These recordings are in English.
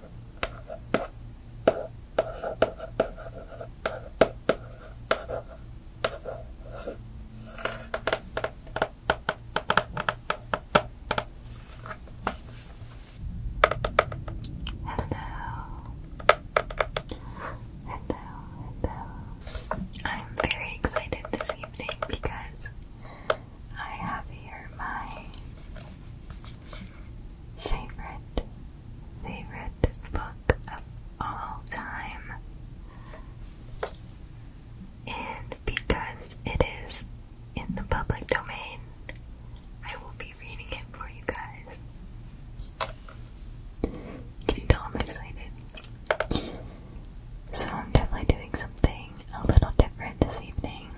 hello, hello. I'm very excited this evening because I have here my favorite, favorite book of all time. And because it is in the public domain, I will be reading it for you guys. Can you tell I'm excited? So, I'm definitely doing something a little different this evening.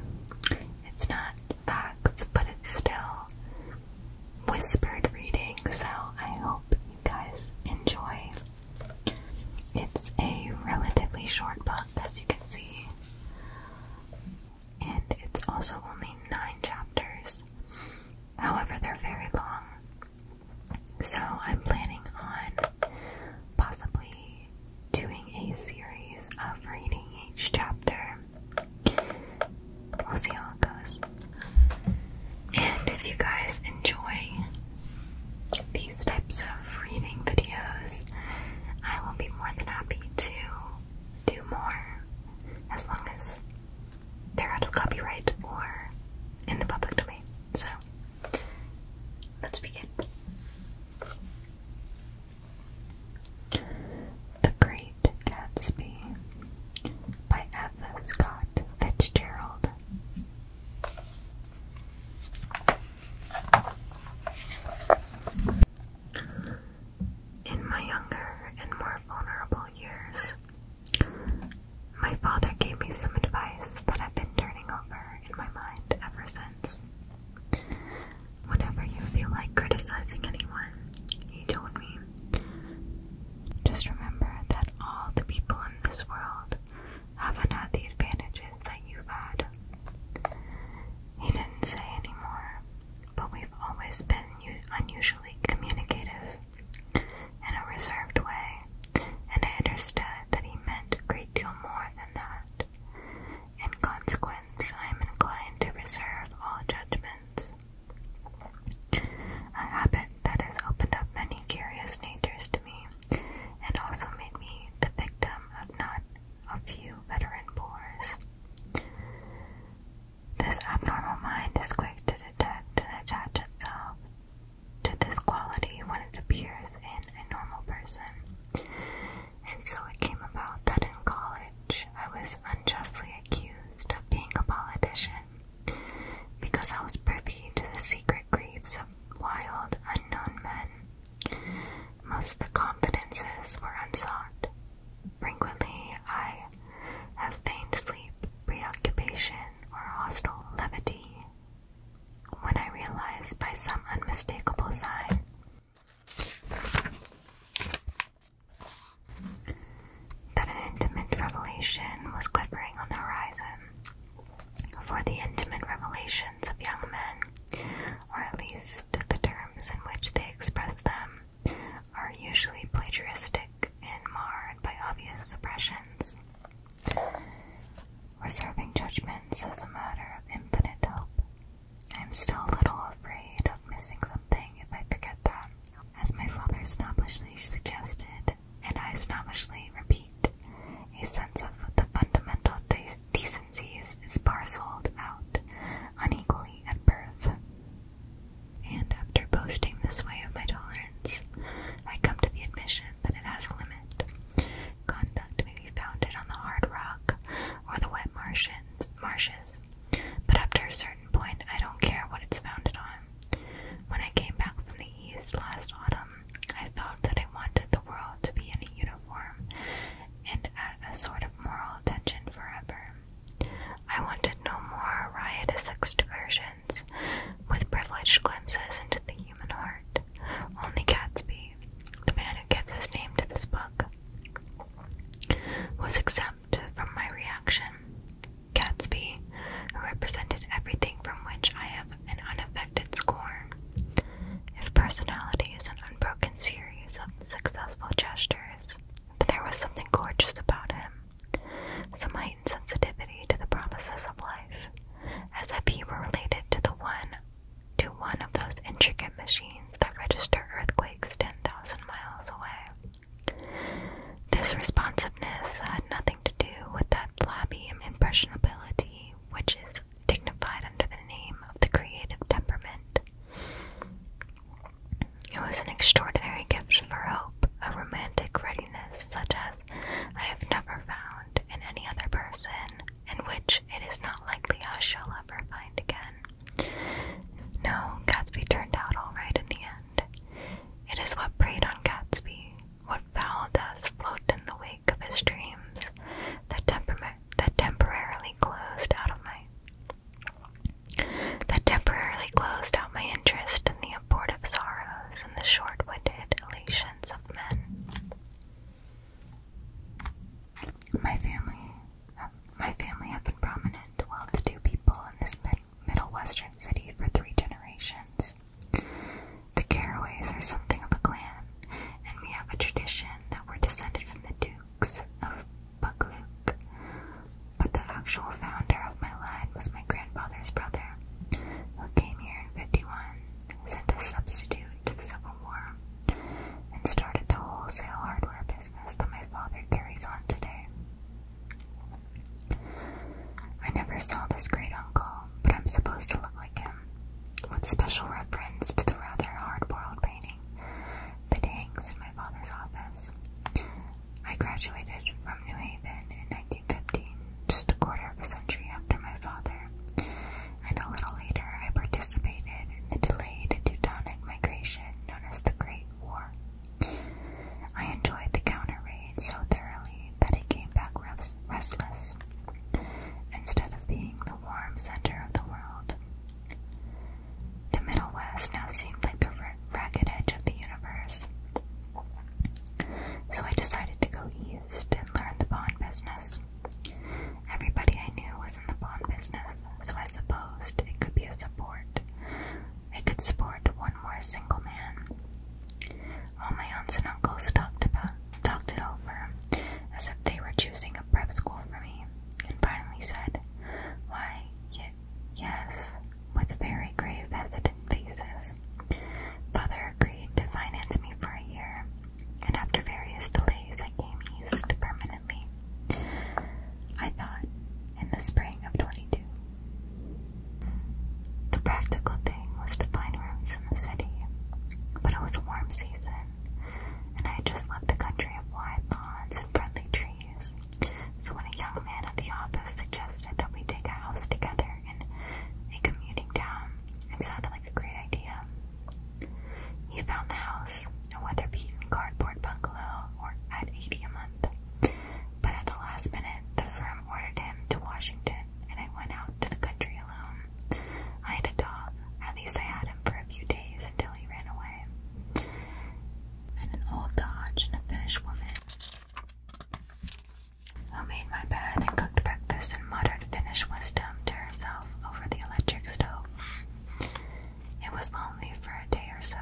It's not facts, but it's still whispered reading, so I hope you guys enjoy. It's a relatively short book, as you can see, and it's also only nine chapters. However, they're very long. So I'm planning on possibly doing a series of reading each chapter. We'll see how it goes. And if you guys enjoy these types of reading videos, I will be more than happy to do more as long as they're out of copyright or in the public domain. So, let's begin. The Great Gatsby by F. Scott Fitzgerald. In my younger and more vulnerable years, my father gave me some advice that I've been turning over in my mind ever since. Whenever you feel like criticizing anyone, you told me, just remember that all the people in this world haven't had the advantages that you've had. He didn't say any more, but we've always been unusually communicative in a reserved way, and I understood that he meant a great deal more than that. In consequence, I am inclined to reserve all judgments. A habit that has opened up many curious natures to me, and also made me the victim of not a few veteran bores. This abnormal mind is quick to detect and attach itself to this quality when it appears in a normal person, and so it came about that in college I was unjustly accused of being a politician because I was privy to the secret griefs of wild, unknown men. Most of the confidences were unsought. Frequently, I have feigned sleep, preoccupation, or hostile levity. When I realized by some unmistakable sign that an intimate revelation was quivering on the horizon. For the intimate revelations of young men, or at least the terms in which they express them, are usually plagiaristic and marred by obvious suppressions. Reserving judgments as a matter of infinite hope I'm still a little afraid of missing something if I forget that, as my father snobbishly suggested, and I snobbishly repeat. A sense of the fundamental decencies is parceled out unequally at birth. And after boasting this way of my tolerance, I come to the admission that it has a limit. Conduct me we found it on the hard rock or the wet martians, marshes, but up to a certain point, I don't care what it's founded on. When I came back from the east last autumn, I felt that I wanted the world to be in a uniform and at a sort of moral tension forever. I wanted no more riotous excursions with privileged glimpses into the human heart. Only Gatsby the man who gives his name to this book, was exempt from my reaction. Gatsby, who represented everything from which I have an unaffected scorn. If personality is an unbroken series of successful gestures, there was something gorgeous about him, some heightened sensitivity to the promises of life, as if he were related to the one to one of those intricate machines that register earthquakes 10,000 miles away. This responsiveness had nothing to do with that flabby impressionability which is dignified under the name of the creative temperament. It was an extraordinary gift for hope, a romantic readiness such as I have never found in any other person, and which it is not likely I shall ever find again. No, Gatsby turned out all right in the end. It is what preyed on Gatsby, what foul dust floated in the wake of his dreams, that, temporarily closed out my that temporarily closed out my interest in the abortive sorrows and the short winded elations of men. My family, uh, my family have been prominent, well-to-do people in this mid middle western city for three generations. The Caraways are something of a clan, and we have a tradition that we're descended from the Dukes of Buccleuch. But the actual founder of my line was my grandfather's brother, who came here in 51, sent a substitute to the Civil War and started the wholesale hardware business that my father carries on today. I never saw this great uncle, but I'm supposed to look like him, with special reference to the rather hard-boiled painting that hangs in my father's office. I graduated from New Haven in 1915, just a quarter of a century after my father, and a little later I participated in the delayed Teutonic migration known as the Great War. I enjoyed the counter raid so thoroughly that I came back restless. Instead of being the warm center of the world, the Middle West now seemed like the ragged edge of the universe. So I decided to go east raised and learned the pawn business. Everybody I knew was in the pawn business, so I supposed it could be a support. It could support one more single man. All my aunts and uncles talked about talked it over, as if they were choosing a prep school for me, and finally said, "Why, y yes," with very grave, hesitant faces. Father agreed to finance me for a year, and after various delays, I came east permanently. I thought in the spring of 22. The practical thing was to find rooms in the city, but it was a warm season, and I had just left a country of wide lawns and friendly trees. So when a young man at the office suggested that we take a house together in a commuting town, it sounded like a great idea. He found the house, a weather-beaten cardboard bungalow, or at 80 a month. But at the last minute, the firm ordered him to Washington, and I went out to the country alone. I had a dog. At least I had him for a few days until he ran away. And an old Dodge and a Finnish woman. I made my bed and cooked breakfast and muttered Finnish wisdom to herself stove over the electric stove. It was lonely for a day or so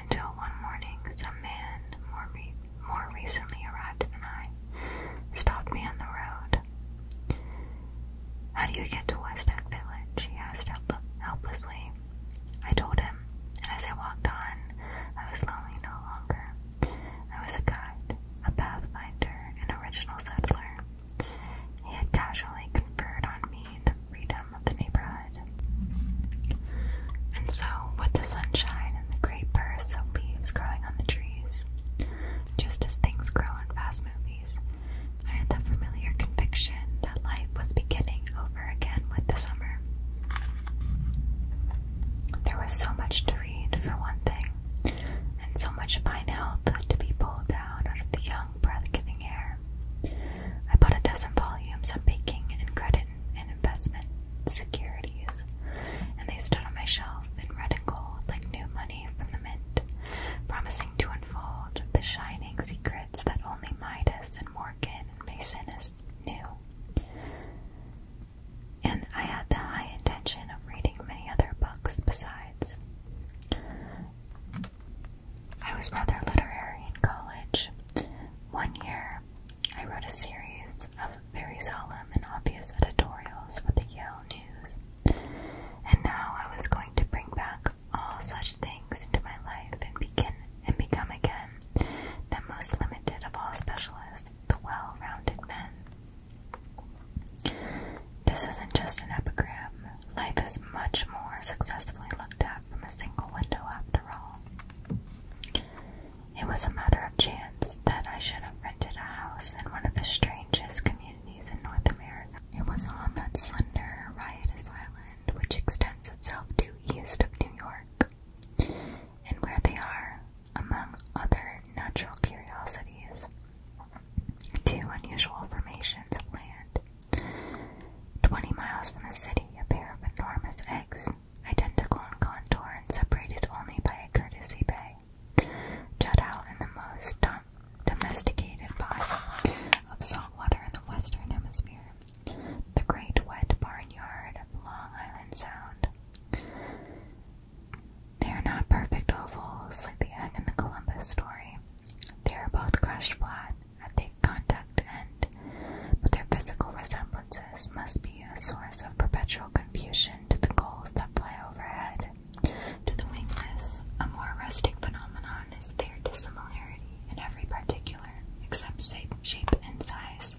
until one morning some man more, re more recently arrived than I stopped me on the road. How do you get to Westdock Village? he asked help helplessly. I told him, and as I walked on, I was lonely no longer. I was a guide, a pathfinder, an original settler. He had casually conferred on me the freedom of the neighborhood. And so, with the sunshine and the great burst of leaves growing on the trees, just as things grow in fast movies, I had the familiar conviction that life was beginning over again with the summer. There was so much to read, for one thing, and so much now mouth to be pulled down out of the young, breath-giving air. I bought a dozen volumes on banking and credit and investment securities, and they stood on my shelf in red and gold like new money from the mint, promising to unfold the shining secrets that only Midas and Morgan and Masonist knew. And I had the high intention of reading many other books besides. I was rather literary in college. One year, I wrote a series of very solemn and obvious editorials for the Yale News, and now I was going to bring back all such things into my life and begin and become again the most limited of all specialists, the well-rounded men. This isn't just an epigram. Life is much more successfully looked at from a single window, after all. It was a matter of chance that I should have rented a house in one of the strangest communities in North America. It was on that slender, riotous island which extends itself due east of New York, and where they are, among other natural curiosities, Two unusual formations of land. Twenty miles from the city, a pair of enormous eggs, identical in contour and separated only by a courtesy bay, jut out in the most domesticated body of salt water in the western hemisphere, the great wet barnyard of Long Island Sound. They are not perfect ovals like the egg in the Columbus story. They are both crushed flat at the contact end, but their physical resemblances must be a source of perpetual confusion to the gulls that fly overhead. To the wingless, a more rustic phenomenon is their dissimilarity in every particular, except shape and size.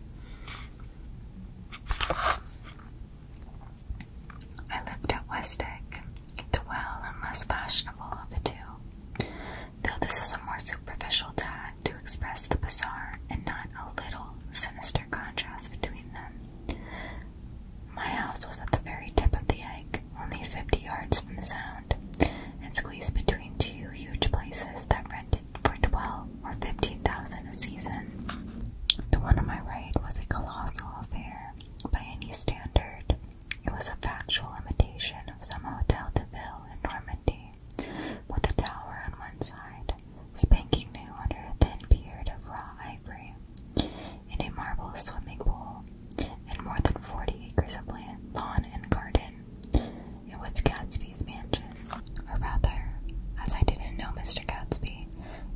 I lived at Westwick, the well and less fashionable of the two, though this is a more superficial tag to express the bizarre and not a little sinister contrast between them. My house was at the very tip of the Egg, only fifty yards from the Sound, and squeezed between two huge places that rented for twelve or fifteen thousand a season. The one on my right was a colossal affair, by any standard. It was a factual imitation of some Hotel de Ville in Normandy, with a tower on one side, spanking new under a thin beard of raw ivory, and a marble swimming pool, and more than forty acres of land, lawn and garden. It was Gatsby's mansion, or rather, as I didn't know Mr. Gatsby,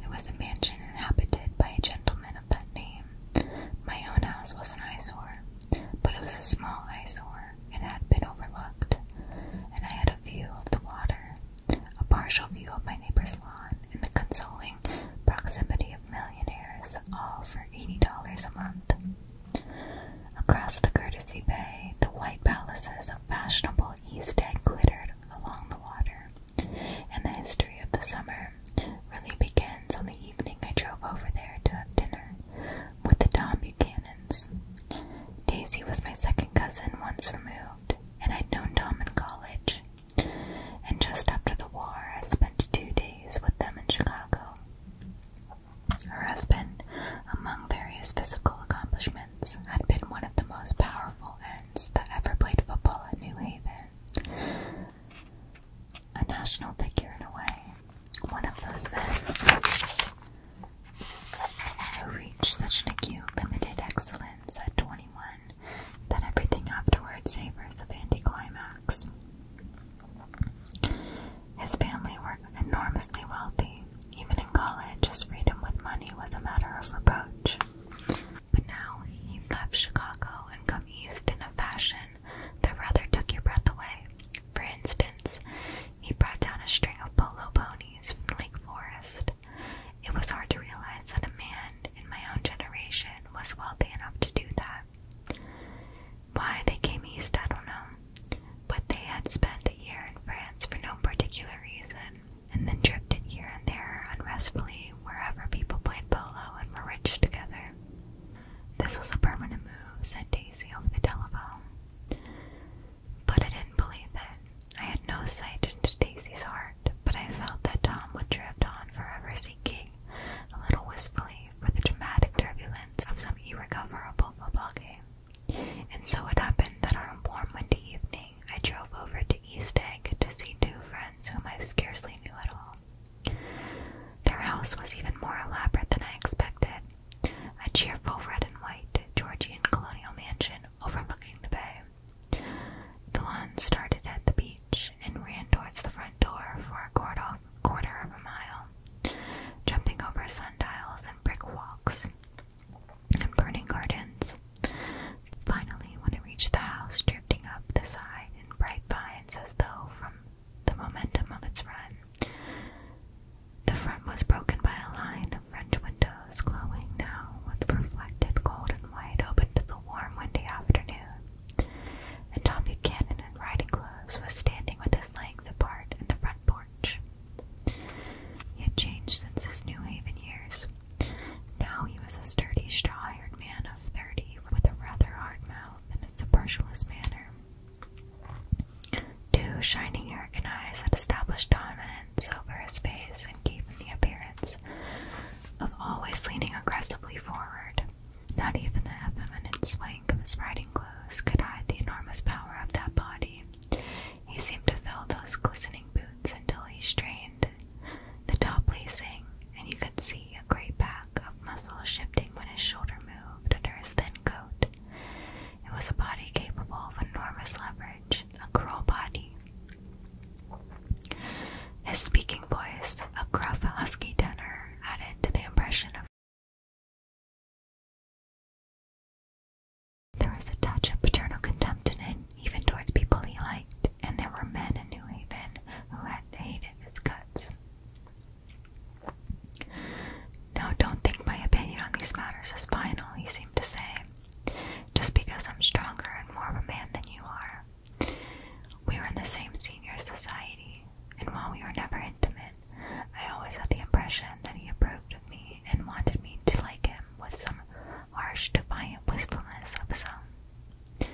it was a mansion mansion inhabited by a gentleman of that name. My own house was an eyesore, but it was a small eyesore and had been overlooked, and I had a view of the water, a partial view of my neighbor's lawn, and the consoling proximity of millionaires, all for $80 a month. Across the courtesy bay, the white palaces of fashionable East Egg glittered along the water, and the history of the summer really begins on the evening I drove over there to have dinner with the Tom Buchanans. Daisy was my second cousin once removed, and I'd known Tom in college. And just after the war, I spent two days with them in Chicago. Her husband, among various physical accomplishments, had been one of the most powerful that ever played football at New Haven. A national figure in a way, one of those men who reached such an acute, limited excellence at 21 that everything afterwards savors of anticlimax. His family were enormously wealthy. Even in college, his freedom with money was a matter of reproach. But now he left Chicago and come east in a fashion that rather took your breath away. For instance, he brought down a string of polo ponies from Lake Forest. It was hard to realize that a man in my own generation was wealthy enough to do that. Why they came east, I don't know. But they had spent a year in France for no particular reason and then drifted here and there unrestfully wherever people played polo and were rich together. This was a permanent move, said Daisy over the telephone. But I didn't believe it. I had no sight into Daisy's heart, but I felt that Tom would drift on forever seeking, a little wistfully, for the dramatic turbulence of some irrecoverable football game. And so it happened that on a warm winter evening, I drove over to East Egg to see two friends whom I scarcely knew at all. Their house was even more elaborate than I expected a cheerful red and white Georgian colonial mansion overlooking the bay. The one started at the beach and ran towards the front door for a quarter, of a mile, jumping over sundials and brick walks and burning gardens. Finally, when it reached the house, drifting up the side in bright pines as though from the momentum of its run, the front was broken by a line of French windows, glowing now with reflected golden light, open to the warm, windy afternoon. And Tom Buchanan, in riding clothes, was standing with his legs apart in the front porch. He had changed since his New Haven years. Now he was a sturdy, straw-haired man of thirty, with a rather hard mouth and a supercilious manner. Two shining and eyes had established dominance over his face and gave him the appearance of always leaning aggressively forward. Not even the effeminate swank of his riding clothes could hide the enormous power of that body. He seemed to fill those glistening boots until he strained the top lacing, and you could see a great pack of muscle shifting when his shoulder moved under his thin coat. It was a body capable of enormous leverage, a cruel body. His speaking voice, a gruff, husky tenor, added to the impression of. There was a touch of paternal contempt in it, even towards people he liked and there were men in New Haven who had hated his guts. Now, don't think my opinion on these matters is final, he seemed to say, just because I'm stronger and more of a man than you are. We were in the same senior society, and while we were never intimate, I always had the impression that he approved of me and wanted me to like him with some harsh, defiant wistfulness of some.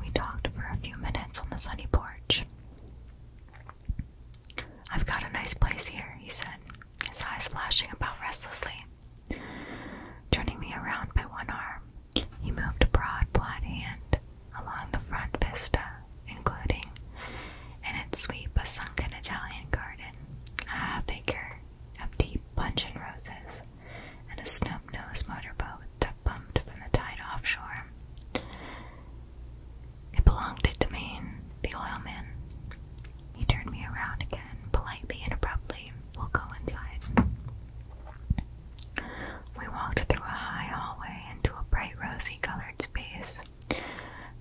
We talked for a few minutes on the sunny porch. I've got a nice place here, he said, his eyes flashing about restlessly. Turning me around by one arm, he moved a broad, flat hand along the front vista, including in its sweep a sunken Italian garden, a figure, acre of deep punch and roses, and a snub-nosed motorboat that bumped from the tide offshore. It belonged to Demain, the oilman. He turned me around again, politely and abruptly. We'll go inside. We walked through a high hallway into a bright rosy-colored space,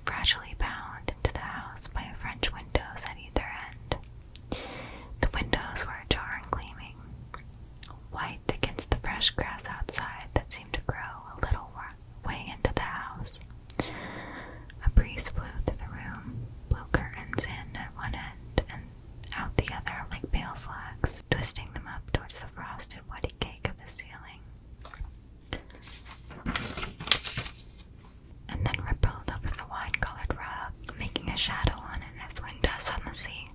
fragilely bound into the house by French windows at either end. The windows were ajar and gleaming, white against the fresh grass outside that seemed to grow a little way into the house. A breeze blew through the room, blew curtains in at one end and out the other like pale flags, twisting them up towards the frosted whitey cake of the ceiling and then rippled over the wine colored rug, making a shadow on it as wind does on the sea.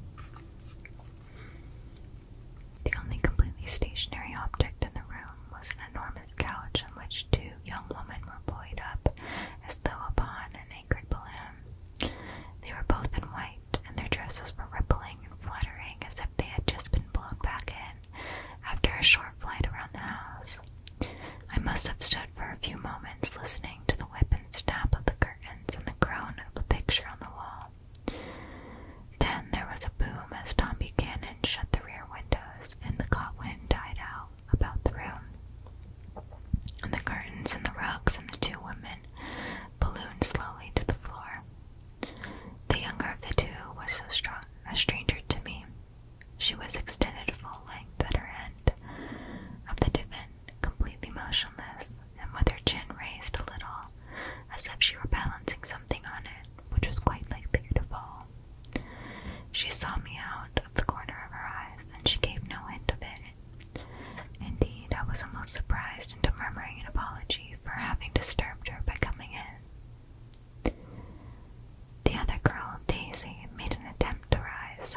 The only completely stationary object in the room was an enormous couch on which two young women were buoyed up as though upon an anchored balloon. They were both in white, and their dresses were rippling and fluttering as if they had just been blown back in after a short flight around the house. I must have stood for a few moments listening to the whip and snap of the curtains and the groan of the picture on the wall. Then there was a boom as Tom Buchanan shut the rear windows and the caught wind died out about the room. And the curtains and the rugs and the two women ballooned slowly to the floor. The younger of the two was so strong a stranger to me, she was extended full length at her end of the divan, completely motionless, and with her chin raised a little, as if she were balancing something on it, which was quite likely to fall. She saw me out of the corner of her eyes, and she gave no hint of it. Indeed, I was almost surprised into murmuring an apology for having disturbed her by coming in. The other girl, Daisy, made an attempt to rise.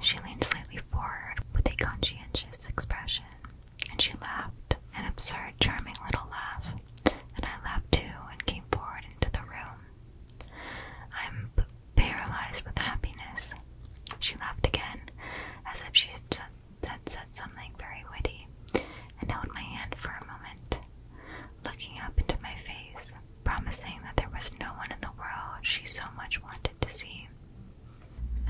She leaned slightly forward with a conscientious expression, and she laughed, an absurd, charming little laugh, and I laughed too and came forward into the room. I'm paralyzed with happiness. She laughed again, as if she had said something very witty, and held my hand for a moment looking up into my face, promising that there was no one in the world she so much wanted to see.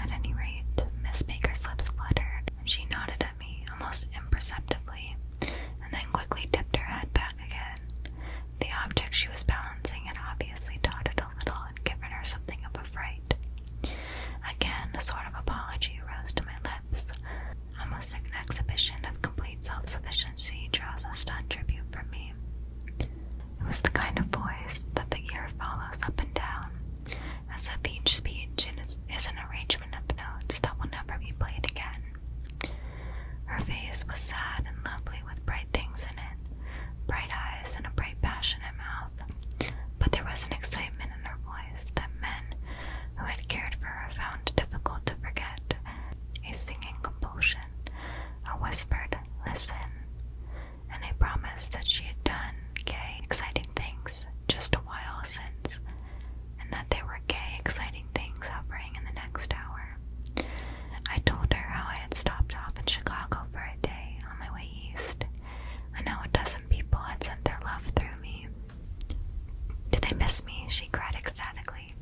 At any rate, Miss Baker's lips fluttered, she nodded at me almost imperceptibly, and then quickly dipped her head back again. The object she was balancing had obviously tottered a little and given her something of a fright. Again, a sort of apology rose to my lips. The second exhibition of complete self sufficiency draws a stunned tribute from me. It was the kind of voice that the ear follows up and down, as if each speech is an arrangement of notes that will never be played again. Her face was sad and lovely with bright things in it, bright eyes and a bright, passionate mouth, but there was an excitement in her voice that men who had cared for her found difficult to forget a singing compulsion, I whispered listen, and I promised that she had done gay, exciting things just a while since, and that they were gay, exciting things happening in the next hour. I told her how I had stopped off in Chicago for a day on my way east, and how a dozen people had sent their love through me. Do they miss me? She cried ecstatically.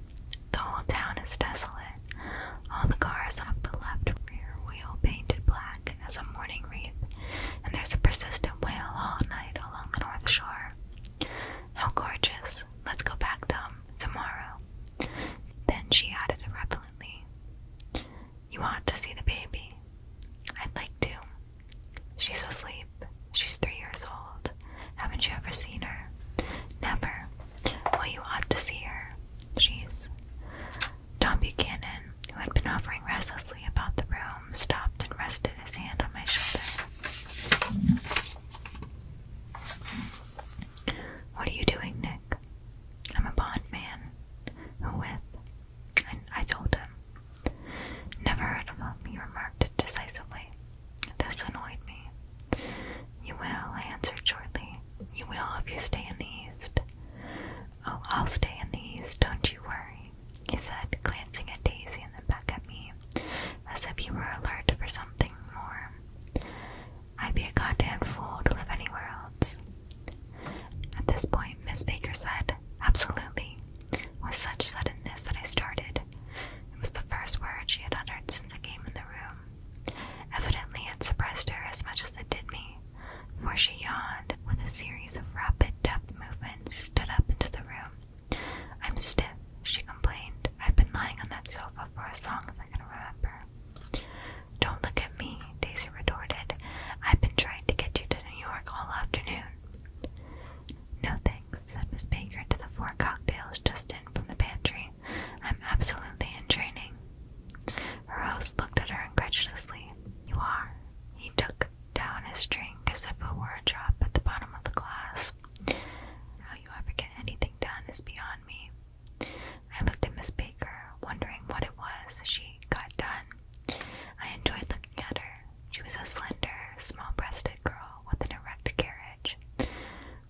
The whole town is desolate. All the cars have the left rear wheel painted black as a mourning wreath, and there's a persistent wail all night along the north shore. How gorgeous. Let's go back, Tom, tomorrow. Then she added irrelevantly, You want to see the baby. I'd like to. She's asleep. She's three years old. Haven't you ever seen her? Never. Well, you ought to see her. She's. Tom Buchanan, who had been hovering restlessly about the room, stopped and rested his hand on my shoulder. What are you doing, Nick? I'm a bond man. Who with? And I told him. Never heard of him, he remarked decisively. This annoyed me. You will, I answered shortly. You will if you stay in the East. Oh, I'll stay in the East, don't you worry, he said, glancing at Daisy and then back at me, as if he were alert for something more. I'd be a goddamn fool to live anywhere else. At this point, Miss Baker said, Absolutely, with such suddenness that I started, it was the first word she had uttered since I came in the room. Evidently it suppressed her as much as it did me, for she yawned with a series of rapid deft movements, stood up into the room. I'm stiff, she complained. I've been lying on that sofa for as long as I can remember. Don't look at me, Daisy retorted. I've been trying to get you to New York all afternoon. No, said Miss Baker to the four cocktails just in from the pantry. I'm absolutely in training. Her host looked at her incredulously. You are? He took down his drink as if it were a drop at the bottom of the glass. How you ever get anything done is beyond me. I looked at Miss Baker, wondering what it was she got done. I enjoyed looking at her. She was a slender, small breasted girl with an erect carriage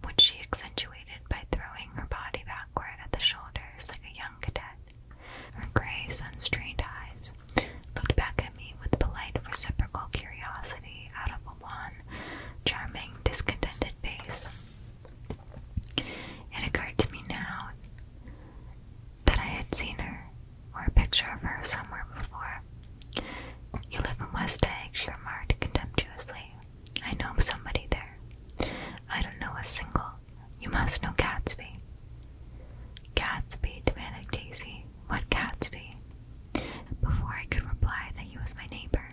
which she accentuated by throwing her body backward at the shoulders like a young cadet. Her gray, sun-strained eyes looked back at me with polite, reciprocal curiosity out of a wan, charming, discontented face. It occurred to me now that I had seen her, or a picture of her, somewhere before. You live in West Egg, she remarked contemptuously. I know somebody there. I don't know a single. You must know Gatsby. Gatsby, demanded Daisy. What Gatsby? Before I could reply that he was my neighbor,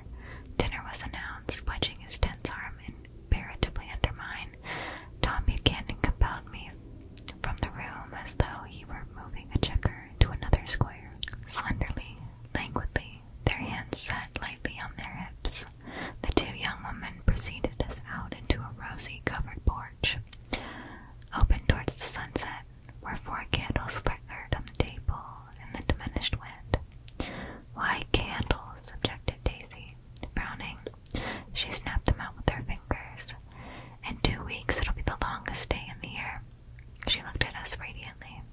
dinner was announced, wedging his tense arm imperatively under mine. Tom Buchanan compelled me from the room as though he were moving a checker to another square. Slenderly, languidly, their hands set lightly on their hips, the two young women proceeded out into a rosy covered porch, open towards the sunset, where four candles flickered on the table in the diminished wind. Why candles? objected Daisy, frowning. She snapped them out with her fingers. In two weeks it'll be the longest day in the year. She looked at us radiantly.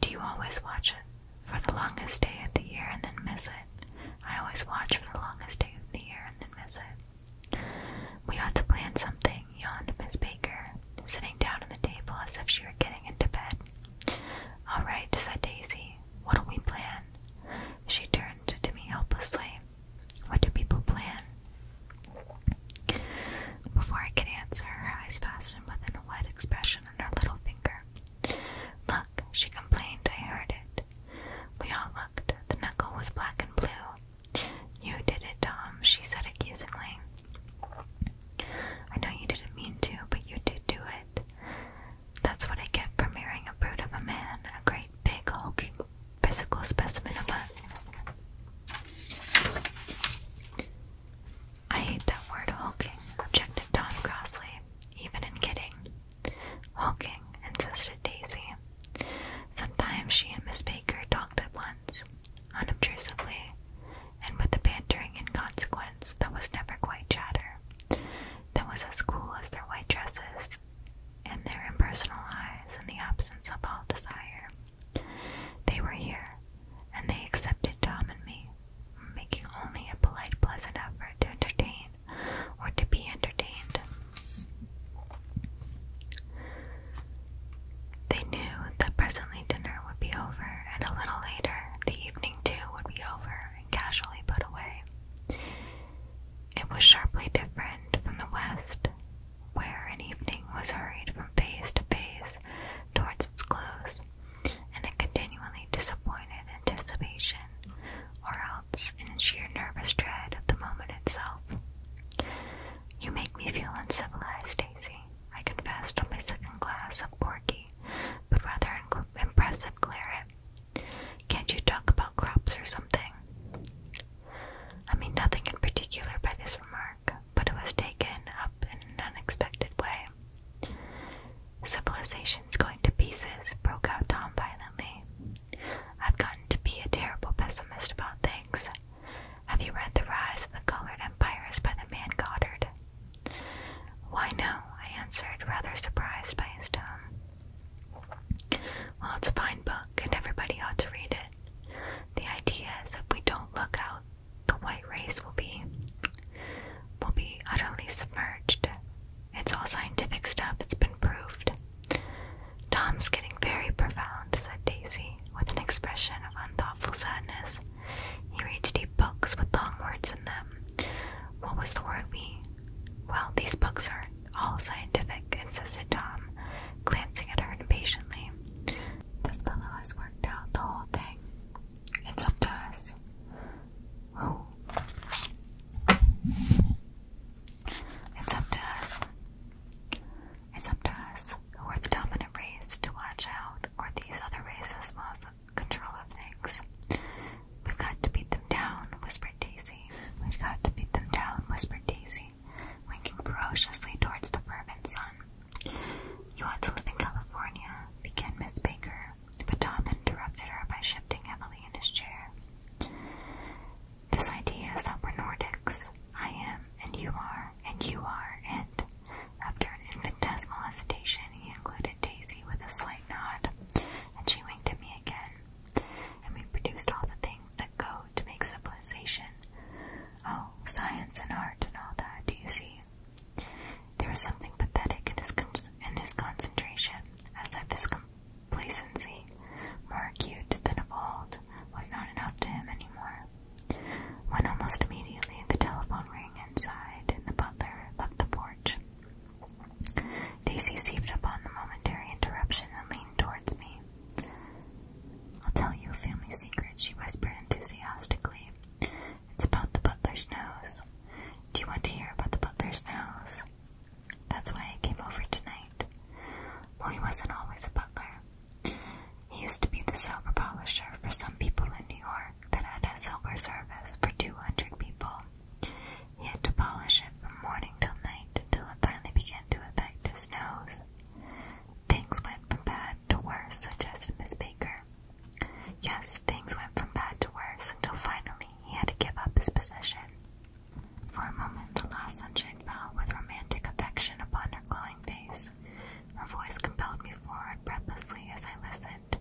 Do you always watch it for the longest day of the year and then miss it? I always watch for the longest day of the year and then miss it. We ought to plan something, yawned Miss Baker, sitting down on the table as if she were getting into bed. All right, said Daisy. What'll we plan? She turned to me helplessly. What do people plan? Before I could answer, her eyes fastened with a wet expression on her little finger. Look, she complained, I heard it. We all looked. The knuckle was black and blue. You did it, Tom, she said accusingly. I know you didn't mean to, but you did do it. That's what I get for marrying a brute of a man, a great big hulking physical specimen of I hate that word hulking, objected Tom Crossley, even in kidding. Hulking, insisted Daisy. Sometimes she and Miss Baker talked at once, unobtrusively, and with a bantering inconsequence that was never quite chatter, that was as cool as their white dresses and their impersonal eyes in the absence of all desire. They were here, and they accepted Tom and me, making only a polite, pleasant effort to entertain or to be entertained. They knew that presently dinner would be over, and a little later the evening too would be over and casually put away. It was sharply different from the West, where an evening was hurried from phase to phase towards its close, and a continually disappointed anticipation, or else in sheer nervous dread of the moment itself. You make me feel uncivilized, Daisy, I confessed on my second glass of corky, but rather impressive claret. Can't you talk about crops or something? I mean nothing in particular by this remark, but it was taken up in an unexpected way. Civilization's going to pieces, broke out Tom violently. I've gotten to be a terrible pessimist about things. Have you read The Rise of the Colored Empires by the man Goddard? Why no, I answered, rather surprised by his tone. Well, it's a fine book, and everybody ought to read it. The idea is if we don't look out, the white race will be will be utterly submerged. It's all scientific stuff, it's been proved. Tom's getting very profound, said Daisy, with an expression of unthoughtful sadness. He reads deep books with long words in them. What was the word we? Well, these books are all scientific, insisted Tom, glancing at her impatiently. This fellow has worked out the whole thing. It's up to us. It's up to us. It's up to us who are the dominant race to watch out, or these other races will control of things. We've got to beat them down, whispered Daisy. We've got to beat them down, whispered Daisy winking ferociously towards the fervent sun. You want to live in California, began Miss Baker, but Tom interrupted her by shifting Emily in his chair. This idea is that we're Nordics. I am, and you are, and you are, and after an infinitesimal hesitation, he included Daisy with a slight nod, and she winked at me again. And we produced all the things that go to make civilization. Oh, science and art and all that, do you see? There was something pathetic in his, in his concentration, as if his complacency, more acute than of old, was not enough to him any more. When almost immediately the telephone rang inside and the butler left the porch, Daisy seized upon the momentary interruption and leaned towards me. I'll tell you a family secret, she whispered enthusiastically. It's about the butler's nose. Do you want to hear about the butler's nose? That's why I came over tonight. Well, he wasn't always a butler. He used to be the silver polisher for some people in New York that had a silver service for 200 people. He had to polish it from morning till night until it finally began to affect his nose. Things went from bad to worse, suggested Miss Baker. Yes, things went from bad to worse until finally he had to give up his position. For a moment, the last sunshine fell with romantic affection upon her glowing face. Her voice compelled me forward breathlessly as I listened.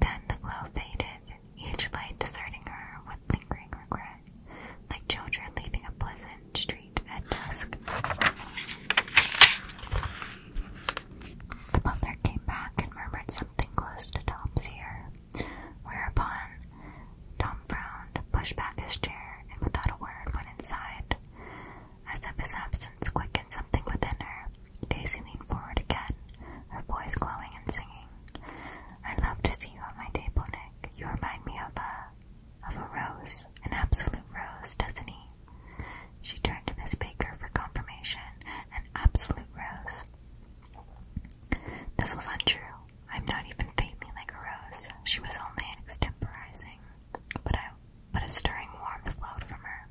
Then the glow faded, each light deserting her with lingering regret like children leaving a pleasant street at dusk. The butler came back and murmured something close to Tom's ear, whereupon Tom frowned, pushed back his chair, and without a word went inside. As if his absence quickened something within her, Daisy leaned forward again, her voice glowing and singing. I'd love to see you on my table, Nick. You remind me of a of a rose an absolute rose, doesn't he? She turned to Miss Baker for confirmation. An absolute rose. This was untrue. I'm not even faintly like a rose. She was only extemporizing, but I, but a stirring warmth flowed from her,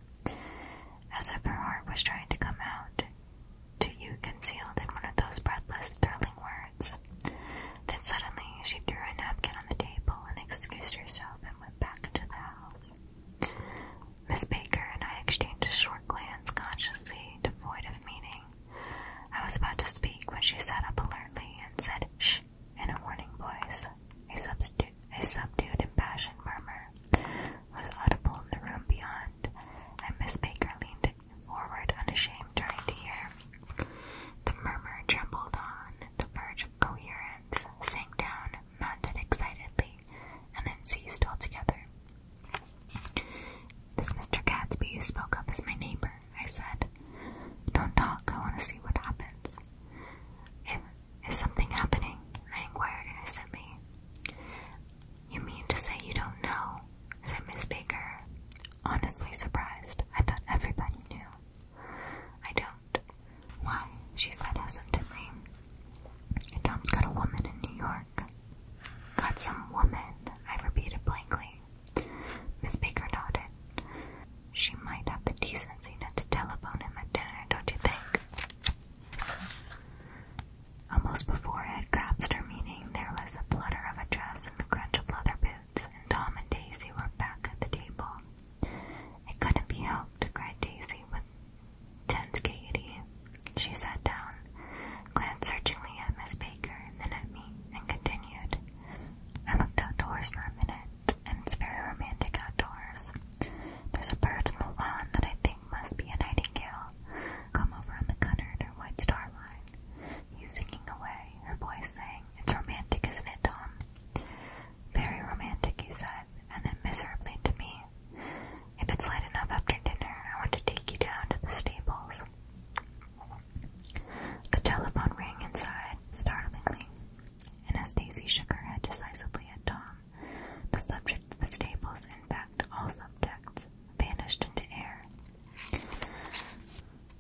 as if her heart was trying to come out to you, concealed in one of those breathless, thrilling words. Then suddenly she threw a napkin on the table and excused herself and went back into the house. Miss Baker and I exchanged a short glance, consciously devoid of meaning. I was about to speak when she sat up alertly and said, "sh" in a warning voice. A, a subdued, impassioned murmur was audible in the room beyond, and Miss Baker leaned forward, unashamed, trying to hear. The murmur trembled on the verge of coherence, sank down, mounted excitedly, and then ceased altogether. This Mr. Gadsby you spoke of is my neighbor, I said. Don't talk, I want to see what happens. is something happening? I inquired innocently. You mean to say you don't know? said Miss Baker honestly surprised. I thought everybody knew. I don't. Why? She said hesitantly. Tom's got a woman in New York. Got some woman, I repeated blankly. Miss Baker nodded. She might have the decency not to telephone him at dinner, don't you think? Almost before I had grasped her meaning, there was a flutter of a dress and the crunch of leather and Tom and Daisy were back at the table. It couldn't be helped, cried Daisy with tense gaiety. She sat down, glanced searchingly at Miss Baker and then at me, and continued. I looked outdoors for a minute, and it's very romantic outdoors. There's a bird in the lawn that I think must be a nightingale. Come over on the Cunard or White starlight. He's singing away, her voice sang it's romantic, isn't it, Tom? Very romantic, he said, and then miserably to me. If it's light enough after dinner, I want to take you down to the stables. The telephone rang inside, startlingly, and as Daisy shook her head decisively at Tom, the subject of the stables, in fact all subjects, vanished into air.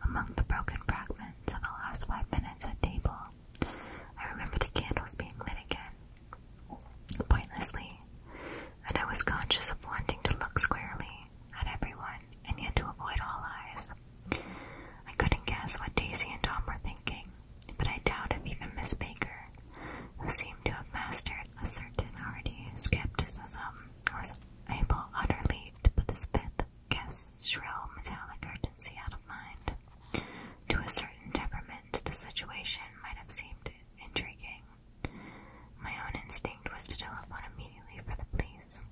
Among the broken fragments of the last five minutes at table, I remember the candles being lit again, pointlessly, and I was conscious of wanting to look squarely at everyone and yet to avoid all eyes. I couldn't guess what Daisy and Tom were thinking, but I doubt if even Miss Baker, who seemed to have mastered a certain hardy skepticism, was able utterly to put this fifth guest's shrill metallic urgency out of mind. To a certain temperament, the situation might have seemed intriguing. My own instinct was to telephone immediately for the police.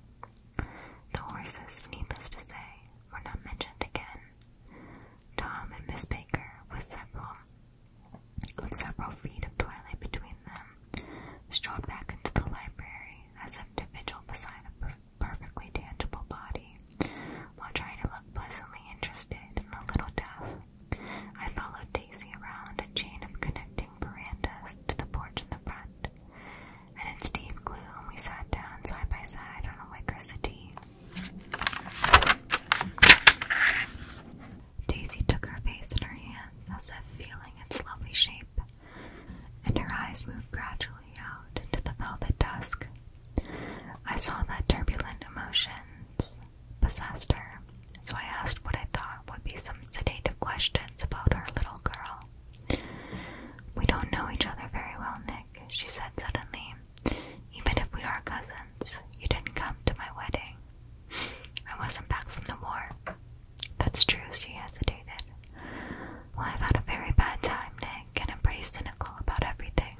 The horses, needless to say, were not mentioned again. Tom and Miss Baker, with several, with several feet of twilight between them, strolled back into the library as if to beside a perfectly tangible body, while trying to look pleasantly interested and a little deaf. I followed Daisy around a chain of connecting verandas to the porch in the front, and in deep gloom we sat down side by side on a liquor settee. Daisy took her face in her hands as if feeling its lovely shape and her eyes moved gradually out into the velvet dusk. I saw that turbulent emotions possessed her, so I asked what I thought would be some sedative questions about our little girl. We don't know each other very well, Nick, she said suddenly. Even if we are cousins, you didn't come to my wedding. I wasn't back from the war. That's true, she hesitated. Well, I've had a very bad time, Nick, and I'm pretty cynical about everything.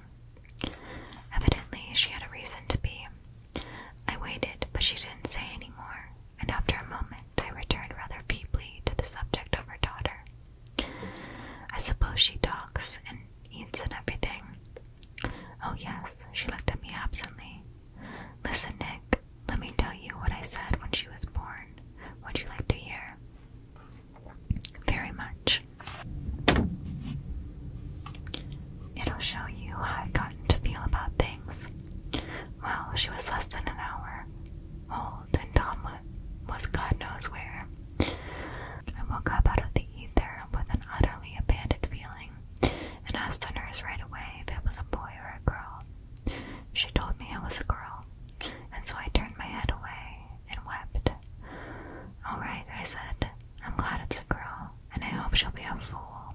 Evidently, she had a reason to be. I waited, but she didn't say any more, and after a moment, I returned rather feebly to the subject of her daughter. I suppose she talks and eats and everything. Oh, yes, she looked at me absently. Listen, Nick, let me tell you what I said when she was born. Would you like to hear? Very much. It'll show you how I've gotten to feel about things. Well, she was less than an hour old, and Tom was God knows where. I woke up out of the ether with an utterly abandoned feeling and asked the nurse right away if it was a boy or a girl. She told me I was a girl, and so I turned my head away and wept. All right, I said, I'm glad it's a girl, and I hope she'll be a fool.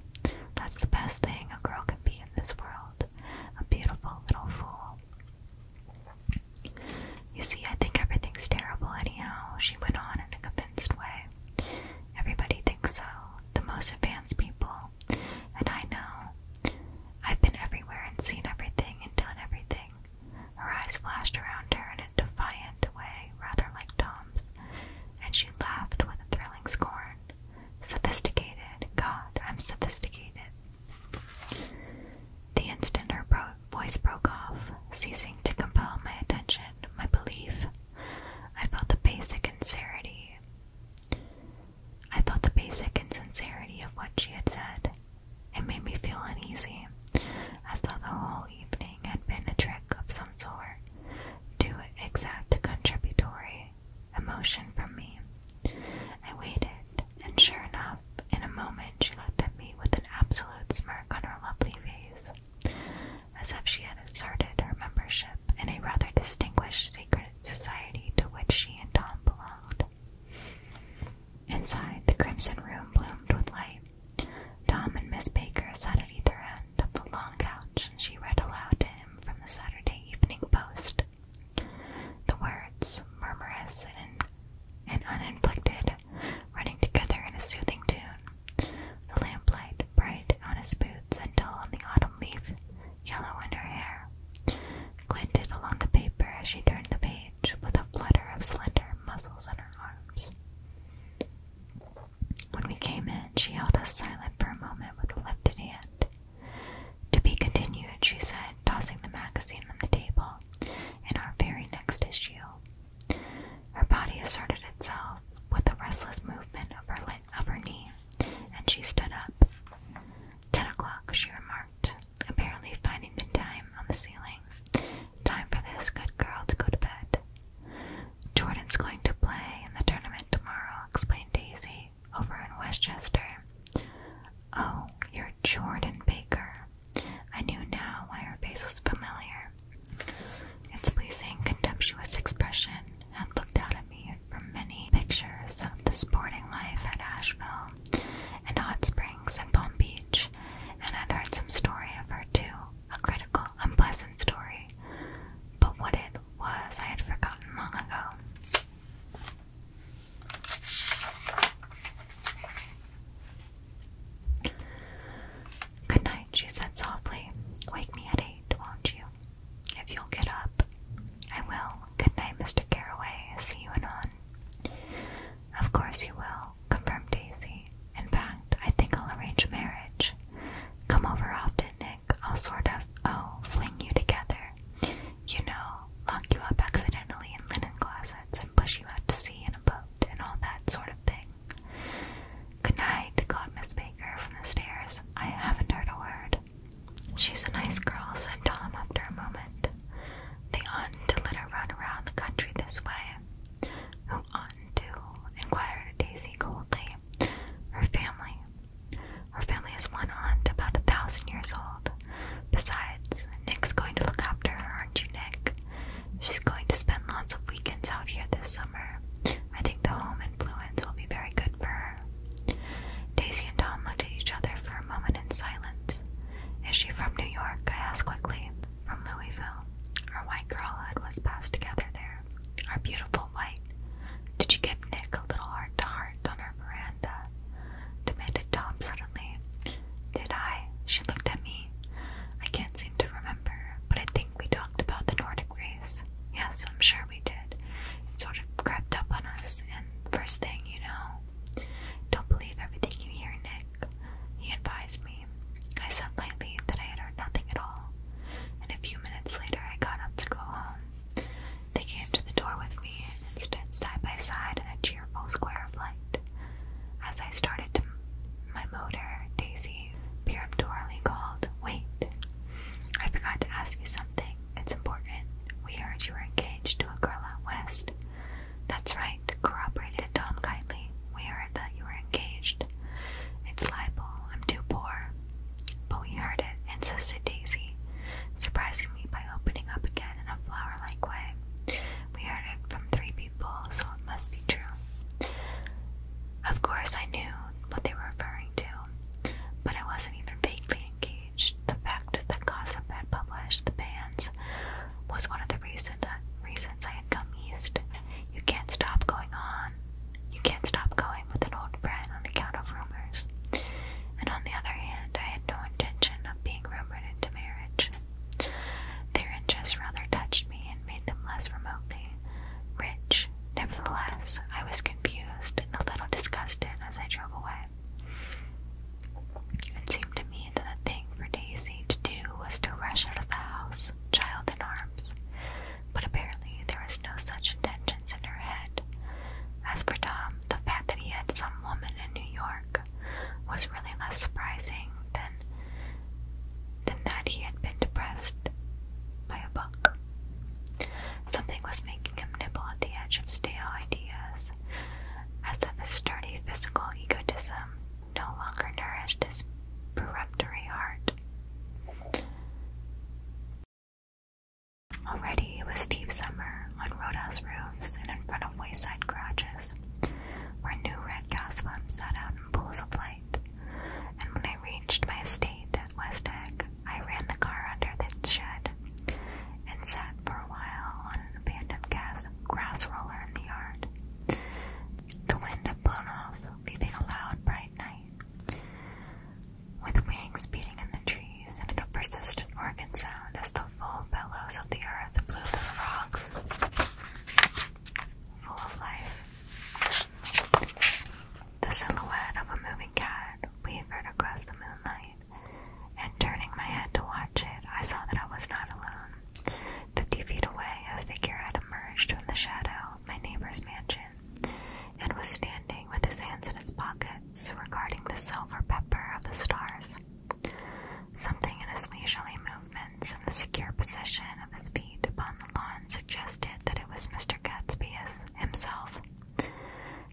That's the best thing a girl can be in this world a beautiful little fool. You see, I think everything's terrible, anyhow, she went on in a convinced way. Everybody thinks so, the most advanced people, and I know I've been everywhere and seen everything and done everything. Her eyes flashed around her in a defiant way, rather like Tom's, and she laughed with a thrilling scorn. Sophisticated. God, I'm sophisticated. The instant her voice broke off, ceasing to compel my attention, my belief, I felt the basic sincerity I felt the basic insincerity of what she had said. It made me feel uneasy, as though the whole evening had been a trick of some sort to exact a contributory emotion from me. I waited, and sure enough, in a moment she looked at me with an absolute smirk on her lovely face, as if she had asserted her membership in a rather distinguished secret society to which she and Tom belonged. Inside, the crimson room bloomed with light. Tom and Miss Baker sat at either end of the long couch, and she read aloud to him from the Saturday Evening Post. The words, murmurous and, uninflected, running together in a soothing tune. The lamplight bright on his boots and dull on the autumn leaf yellow in her hair, glinted along the paper as she turned the page with a flutter of slender muscles in her arms. When we came in, she held us silent for a moment with a lifted hand. To be continued, she said, tossing the magazine on the table In our very next issue. Her body asserted itself with a restless movement of her up her knee, and she stood up. Ten o'clock, she remarked, apparently finding the time on the ceiling. Time for this good girl to go to bed. Jordan's going to play in the tournament tomorrow, explained Daisy, over in Westchester. Oh, you're Jordan Baker. I knew now why her face was familiar. Its pleasing, contemptuous expression had looked down at me from many pictures of the sporting life at Asheville and Hot Springs and Palm Beach, and had heard some story of her too, a critical, unpleasant story, but what it was I had forgotten long ago. Good night, she said softly. Wake me at eight, won't you? If you'll get up, I will. Good night, Mr. Caraway. See you anon. Of course you will, confirmed Daisy. In fact, I think I'll arrange marriage. Come over often, Nick. I'll sort of, oh, fling you together. You know, lock you up accidentally in linen closets and push you out to sea in a boat and all that sort of thing. Good night, called Miss Baker from the stairs. I haven't heard a word. She's a nice girl, said Tom after a moment. They oughtn't to let her run around the country this way. Who oughtn't to? inquired Daisy coldly. Her family. Her family is one aunt about a thousand years old. Besides, Nick's going to look after her, aren't you, Nick? She's going to spend lots of weekends out here this summer. I think the home influence will be very good for her. Daisy and Tom looked at each other for a moment in silence. Is she from New York? I asked quickly. From Louisville. Our white girlhood was passed together there. Our beautiful white. Did you give Nick a little heart to heart on our veranda? demanded Tom suddenly. Did I? She looked at me. I can't seem to remember, but I think we talked about the Nordic Yes, I'm sure we did. It sort of crept up on us, and first thing you know, don't believe everything you hear, Nick. He advised me. I said lightly that I had heard nothing at all, and a few minutes later I got up to go home. They came to the door with me and stood side by side in a cheerful square of light. As I started to my motor, Daisy peremptorily called, Wait! I forgot to ask you something. It's important. We heard you were engaged to a girl out west. That's right, corroborated Tom kindly. We heard that you were engaged. It's libel. I'm too poor. But we heard it, insisted Daisy, surprising me by opening up again in a flower-like way. We heard it from three people, so it must be true. Of course I knew what they were referring to known, but I wasn't even vaguely engaged. The fact that Gossip had published the bands was one of the reason, uh, reasons I had come east. You can't stop going on. You can't stop going with an old friend on account of rumors. And on the other hand, I had no intention of being rumored into marriage. Their interests rather touched me and made them less remotely rich Nevertheless, I was confused and a little disgusted as I drove away. It seemed to me that the thing for Daisy to do was to rush out of the house, child in arms. But apparently there was no such intentions in her head. As for Tom, the fact that he had some woman in New York was really less surprising than than that he had been depressed by a book. Something was making him nibble at the edge of stale ideas, as if a sturdy physical egotism no longer nourished his peremptory heart. Already it was deep summer on roadhouse roofs and in front of wayside garages, where new red gas lamps sat out in pools of light, and when I reached my estate, at Egg, I ran the car under the shed and sat for a while on an abandoned gas grass roller in the yard. The wind had blown off, leaving a loud, bright night, with wings beating in the trees and a persistent organ sound as the full bellows of the earth blew the frogs full of life. The silhouette of a moving cat wavered across the moonlight, and turning my head to watch it, I saw that I was not alone. Fifty feet away, a figure had emerged from the shadow of my neighbor's mansion and was standing with his hands in his pockets, regarding the silver pepper of the stars. Something in his leisurely movements and the secure position of his feet upon the lawn suggested that it was Mr. Gatsby himself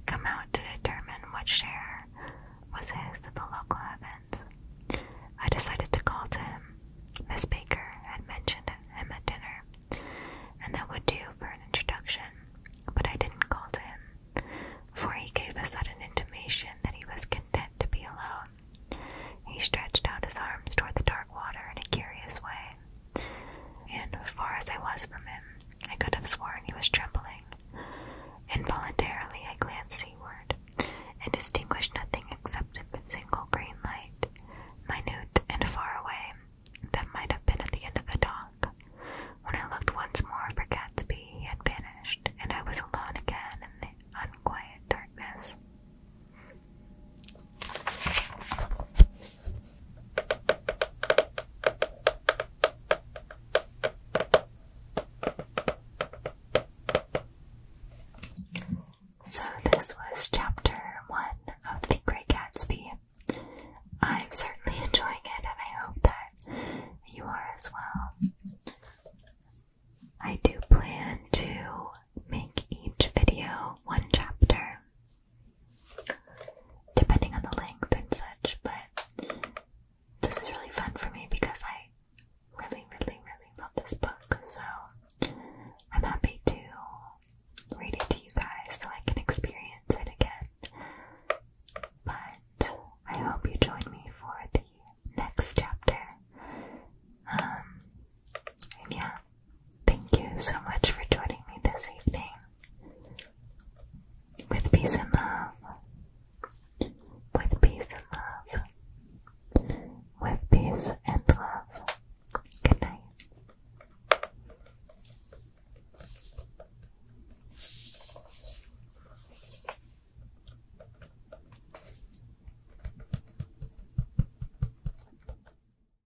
come out to determine what share was his of the local events. I decided to call to him. Miss Baker had mentioned him at dinner, and that would do for an introduction, but I didn't call to him, for he gave a sudden intimation that he was content to be alone. He stretched out his arms toward the dark water in a curious way and far as I was from him, I could have sworn he was trembling. Involuntarily, I glanced seaward and distinguished nothing except a single green light, minute and far away, that might have been at the end of the dock. When I looked once more for Gatsby, he had vanished, and I was alone again in the unquiet darkness. So, this was chapter one of The Great Gatsby. I'm certainly enjoying it, and I hope that you are as well. I do plan to make each video one chapter depending on the length and such, but this is really fun for me because I really, really, really love this book. So I'm happy to read it to you guys so I can experience it again. But I hope you join me for the next chapter. Um, and yeah, Thank you so much for joining me this evening. With peace and love. With peace and love. With peace and love. Good night.